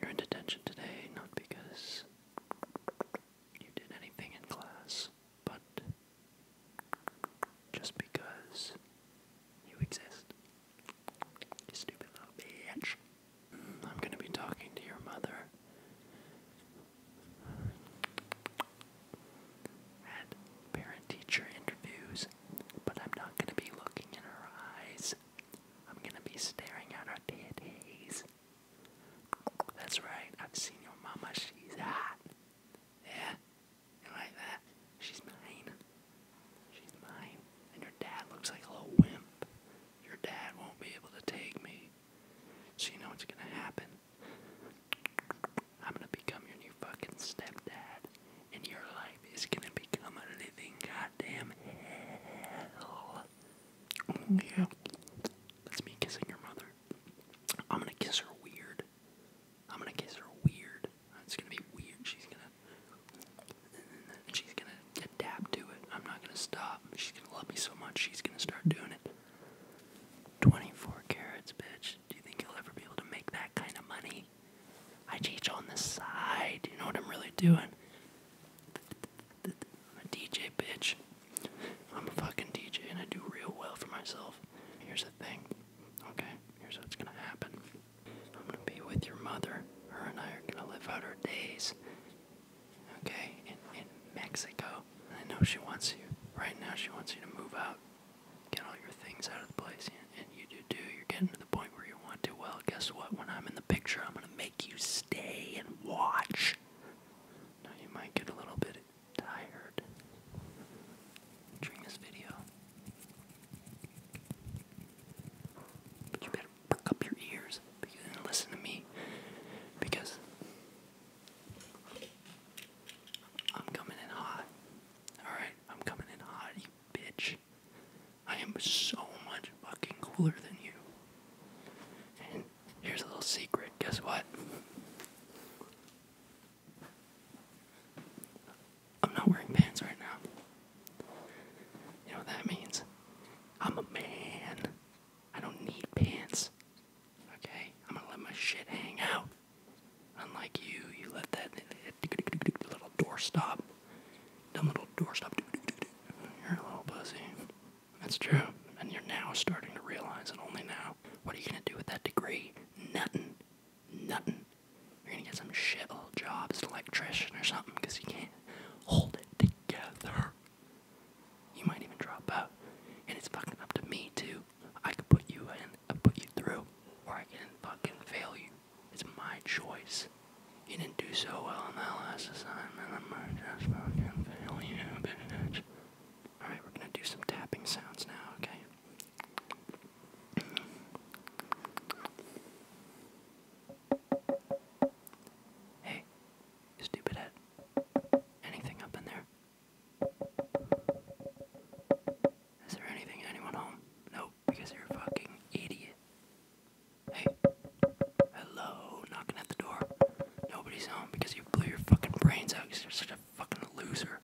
You're in detention today not because you did anything in class, but just because you exist. You stupid little bitch. I'm gonna be talking to your mother at parent teacher interviews, but I'm not gonna be looking in her eyes. I'm gonna be staring at her titties. That's right, I've seen your mama, she's hot. Yeah? like that? She's mine. She's mine. And your dad looks like a little wimp. Your dad won't be able to take me. So you know what's gonna happen. I'm gonna become your new fucking stepdad, and your life is gonna become a living goddamn hell. Yeah. That's me kissing your mother. I'm gonna kiss her weird. I'm gonna kiss her weird. It's gonna be weird. She's gonna. She's gonna adapt to it. I'm not gonna stop. She's gonna love me so much, she's gonna start doing it. 24 carats, bitch. Do you think you'll ever be able to make that kind of money? I teach on the side. You know what I'm really doing? I'm a DJ, bitch. I'm a fucking DJ and I do real well for myself. Here's the thing, okay? Here's what's gonna happen. I'm gonna be with your mother. Her and I are gonna live out our days, okay? In, in Mexico. I know she wants you. Right now, she wants you to move out, get all your things out of the place, and, you do too. You're getting to the point where you want to. Well, guess what? When I'm in the picture, I'm gonna make you stay and watch. Now, you might get a little bit tired during this video. But you better perk up your ears and listen to me because I'm coming in hot. Alright, I'm coming in hot, you bitch. I am so much fucking cooler than you. And here's a little secret guess what? I'm not wearing pants right now. You know what that means? I'm a man. I don't need pants. Okay? I'm gonna let my shit hang out. Unlike you, you let that little door stop. Dumb little door stop. You're a little pussy. That's true. And you're now starting to realize it only now. What are you gonna do with that degree? Nothing. Nothing. You're gonna get some shithole job as an electrician or something because you can't hold it together. You might even drop out. And it's fucking up to me too. I could put you in, I put you through, or I can fucking fail you. It's my choice. You didn't do so well on that last assignment. I'm gonna fucking fail you, bitch. Alright, we're gonna do some tapping sounds now, okay? Hey, you stupid head. Anything up in there? Is there anything? Anyone home? Nope, because you're a fucking idiot. Hey, hello, knocking at the door. Nobody's home because you blew your fucking brains out because you're such a fucking loser.